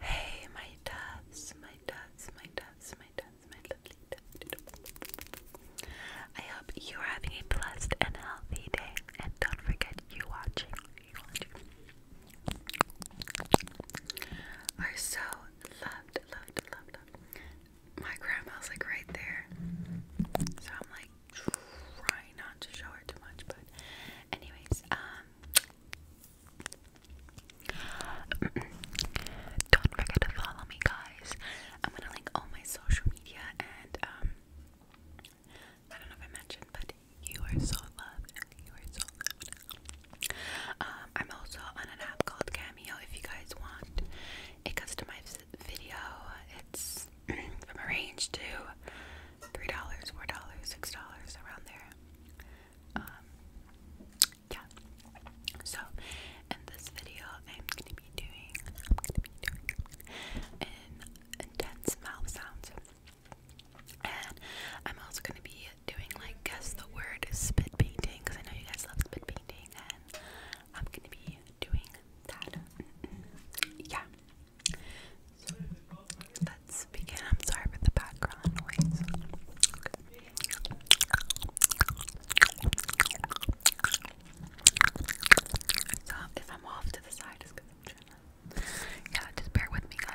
Hey, my doves, my doves, my doves, my doves, my lovely doves. I hope you are having a blessed and healthy day, and don't forget you watching, you watching, so loved, loved, loved, My grandma's like right there, so I'm like trying not to show her too much, but anyways, um. Don't forget to follow me, guys. I'm gonna link all my social media, and um, I don't know if I mentioned, but you are so loved. You are so loved. Um, I'm also on an app called Cameo. If you guys want a customized video, it's from a range to three dollars, four dollars, six dollars, around there. Um, yeah. So in this video, I'm gonna be doing, I'm gonna be doing intense mouth sounds, and I'm also gonna be doing like guess the word spit painting because I know you guys love spit painting, and I'm gonna be doing that. Yeah. So, let's begin. I'm sorry for the background noise. So, if I'm off to the side, it's because I'm trying Yeah, just bear with me, guys.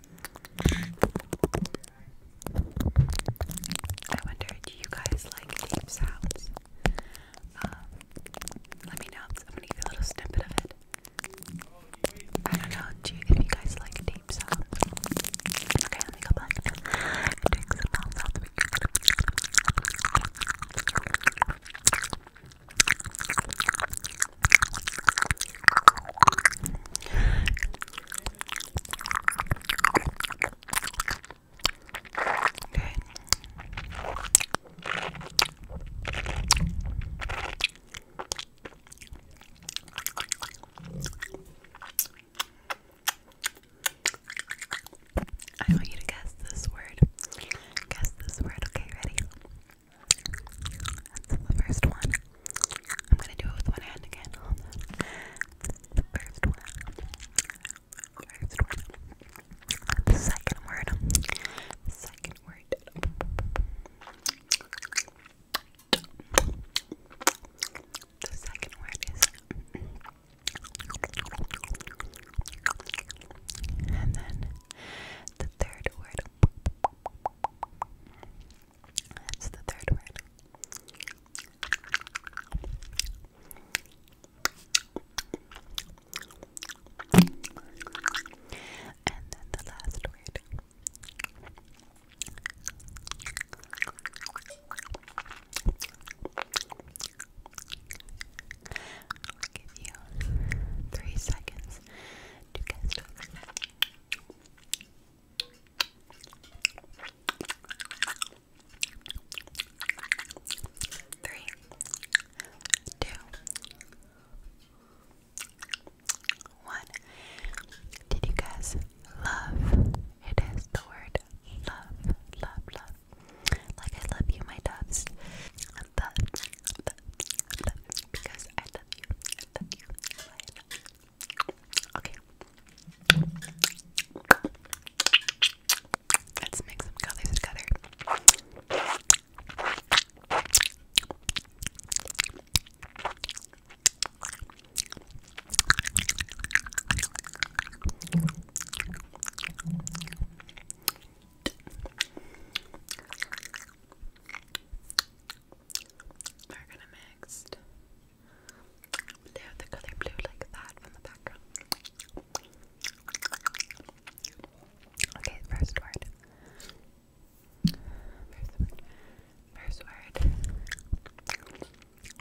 I wonder, do you guys like deep sounds? Um, let me know. I'm gonna give you a little snippet of it. I don't know do you, guys like deep sounds. Okay, let me go back and take some sounds I want you to guess this word. Guess this word. Okay, ready? the first one. I'm gonna do it with one hand again. The first one. The second word. second word. The second word is. And then the third word. That's the third word. And then the last word. I'll give you three seconds guess. Three, two, one. Did you guys love? It is the word love, love, love. Like I love you, my doves because I love you. I love you. Okay. Let's mix some colors together. We're gonna mix blue, the color blue like that from the background. Okay, first word. First word. First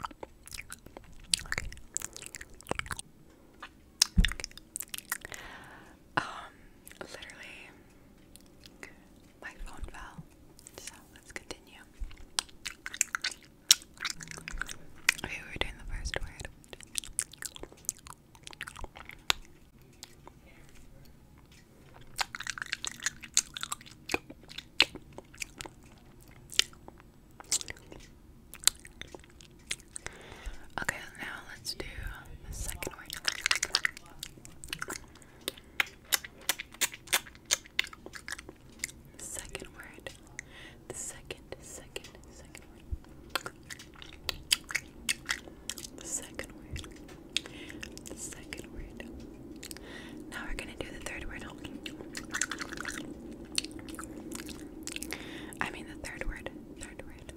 word. Okay. Um, literally, my phone fell. So let's continue. Okay, we were doing the first word. Okay, now let's do the second one. second word. The second, second, second word. The second word. The second word. Now we're gonna do the third word. I mean the third word. Third word.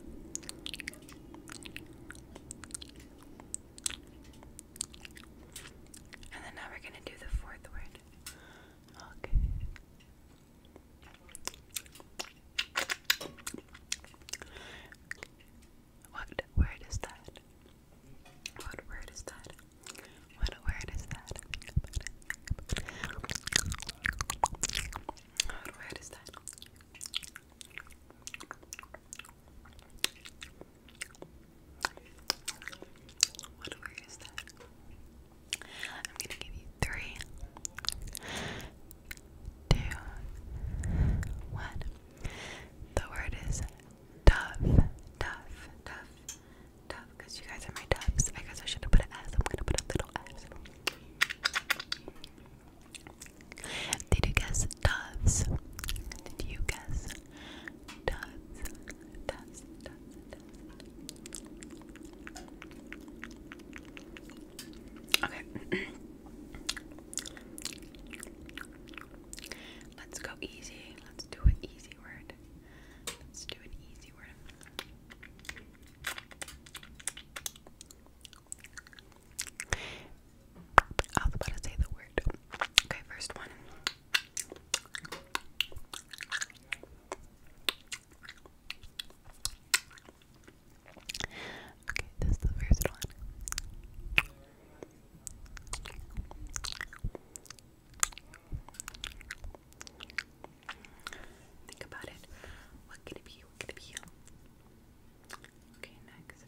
And then now we're going to do the fourth word. Okay. What word is that? What word is that? What word is that? What word is that? What word is that? I'm gonna give you three, two, one. The word is tough, tough, tough, tough. Because you guys are my toughs. I guess I should have put an S. I'm gonna put a little S. Did you guess doves? Did you guess doves? Doves, doves, Okay. Let's go easy. Let's do an easy word. Let's do an easy word. I was about to say the word. Okay, first one. Okay, this the first one. Think about it. What can it be? What can it be? Okay, next.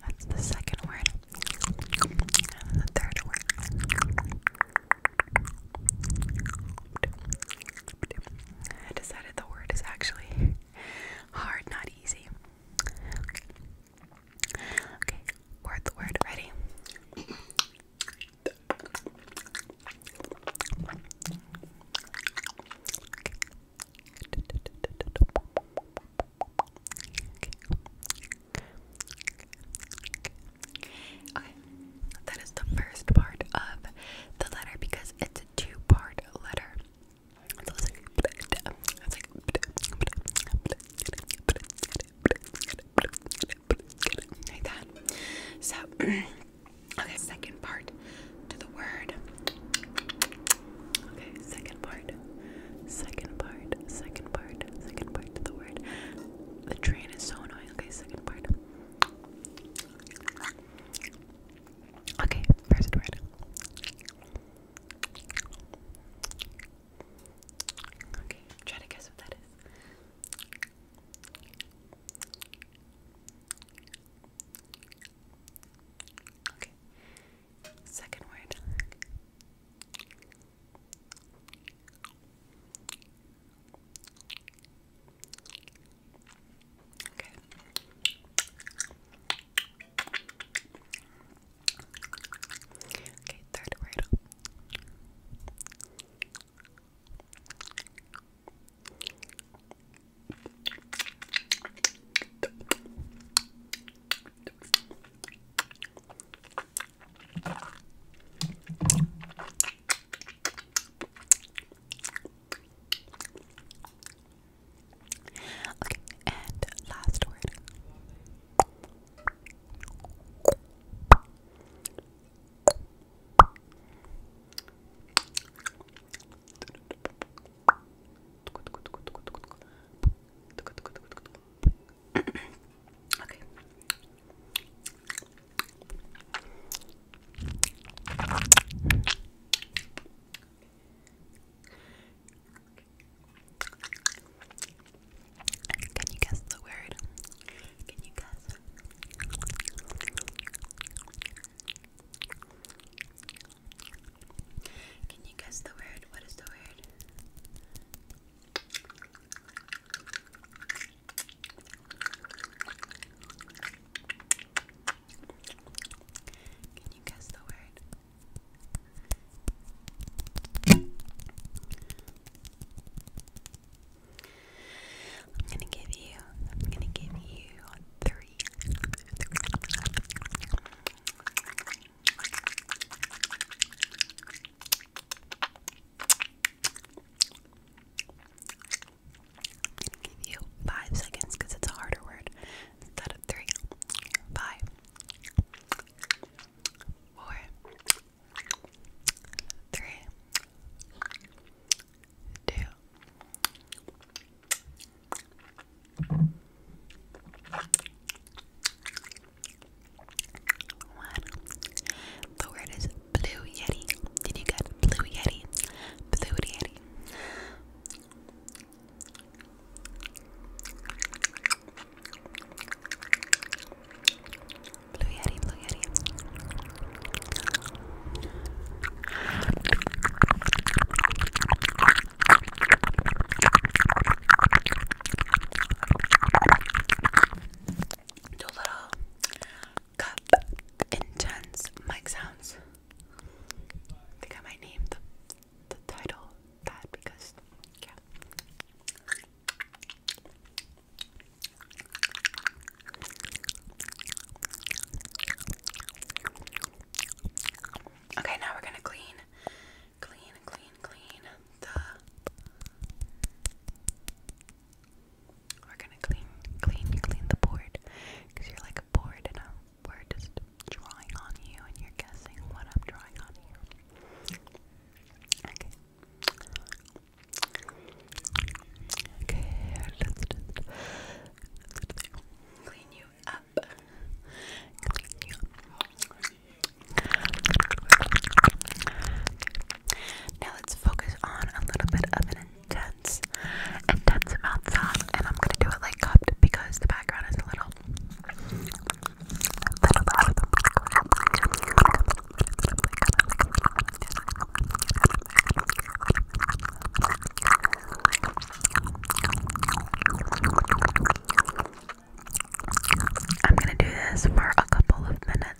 that's the second word. And the third word. I decided the word is actually Hard, not easy. Okay. word word. Ready? Okay, that is the first part of the letter because it's a two part letter. So okay, second part to the word. Okay, second part. Second part, second part, second part to the word. The train is so annoying. Okay, second part. Okay, first word. Okay, try to guess what that is. Okay, second word. Okay. Okay, third word. Okay, and last word. Can you guess the word? Can you guess? Can you guess the word? What is the word? Can you guess the word? I'm gonna give you, I'm gonna give you three. I'm gonna give you five seconds because it's a harder word. Instead of three, five, four, three, two. One. The word is Blue Yeti. Did you get Blue Yeti? Blue Yeti. Blue Yeti, Blue Yeti. Dobra, cup intense mic sounds. I think I might name the, the title that because Okay, now we're gonna clean, clean, clean, clean the we're gonna clean, clean, clean the board, cause you're like bored and we're just drawing on you, and you're guessing what I'm drawing on you. Okay. Okay, let's just clean you up. Clean you up. Now let's focus on a little bit of an intense, intense mouth and I'm gonna do it like cupped because the background is a little, I'm gonna do this for a couple of minutes.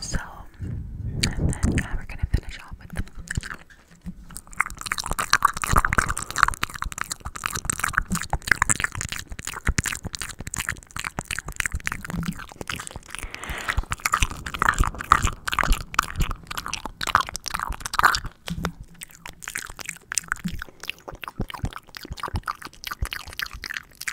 So, and then yeah, we're gonna finish off with them.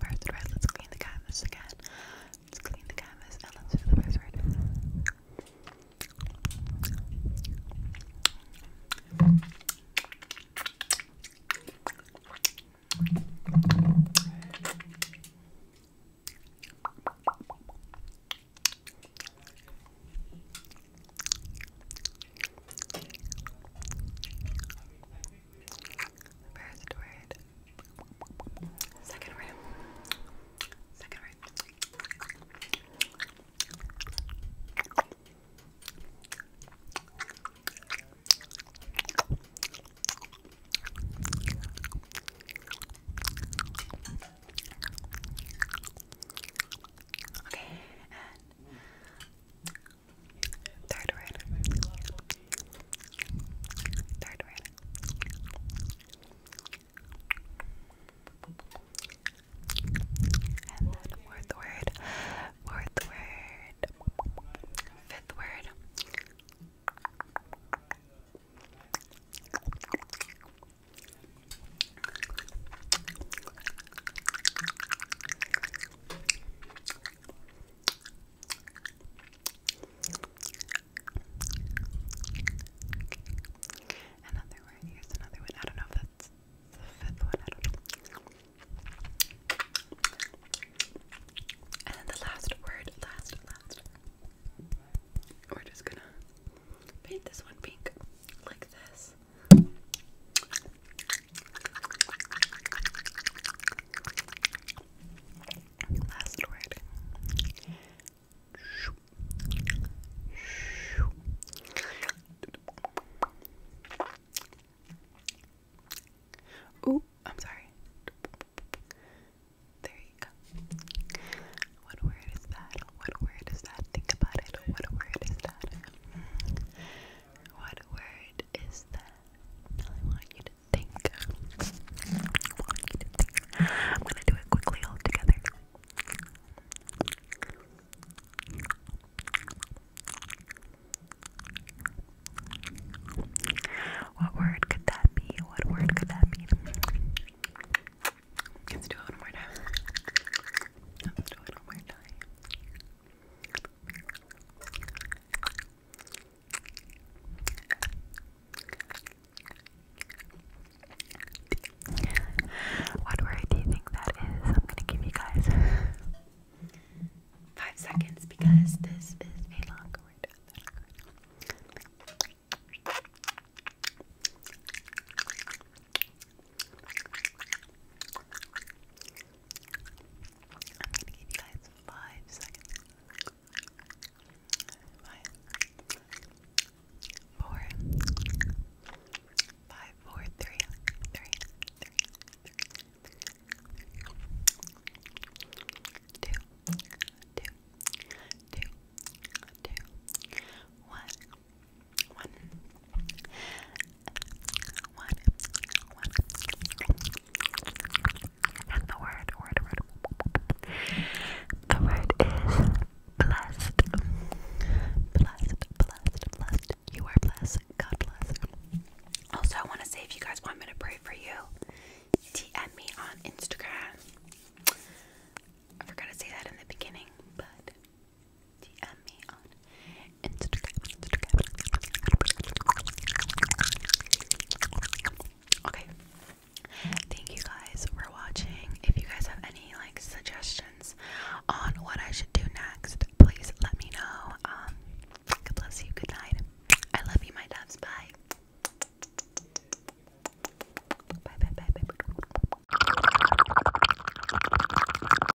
First red, let's clean the canvas again. Let's clean the canvas and let's do the first First word. Second word. Second word. Okay, and Third word. Third word. fourth word. Fourth word. Fifth word. Another one, here's another one. I don't know if that's the fifth one, I don't know. And then the last word, last, last. We're just gonna paint this one pink like this. Last word. Ooh, I'm sorry. There you go. What word is that? What word is that? Think about it. What word is that? What word it is that I want you to think. I am gonna do it quickly all together. What word could that be? What word could that be? Let's do it one more time. Let's do it one more time. What word do you think that is? I'm gonna give you guys five seconds because this is a long word. I'm gonna give you guys five seconds. Five, four, five, four, three, three, three, three, two, two, two, two, one, one. One, one. And the word, word, word. The word is blessed. Blessed, blessed, blessed. You are blessed. God bless. Also, I want to say if you guys want me to pray for you, DM me on Instagram. I forgot to say that in the beginning, but DM me on Instagram. Okay. Thank you guys for watching. If you guys have any like suggestions on what I should do next, please let me know. Um, God bless you. Good night. I love you, my doves. Bye. Bye. Bye. Bye. Bye.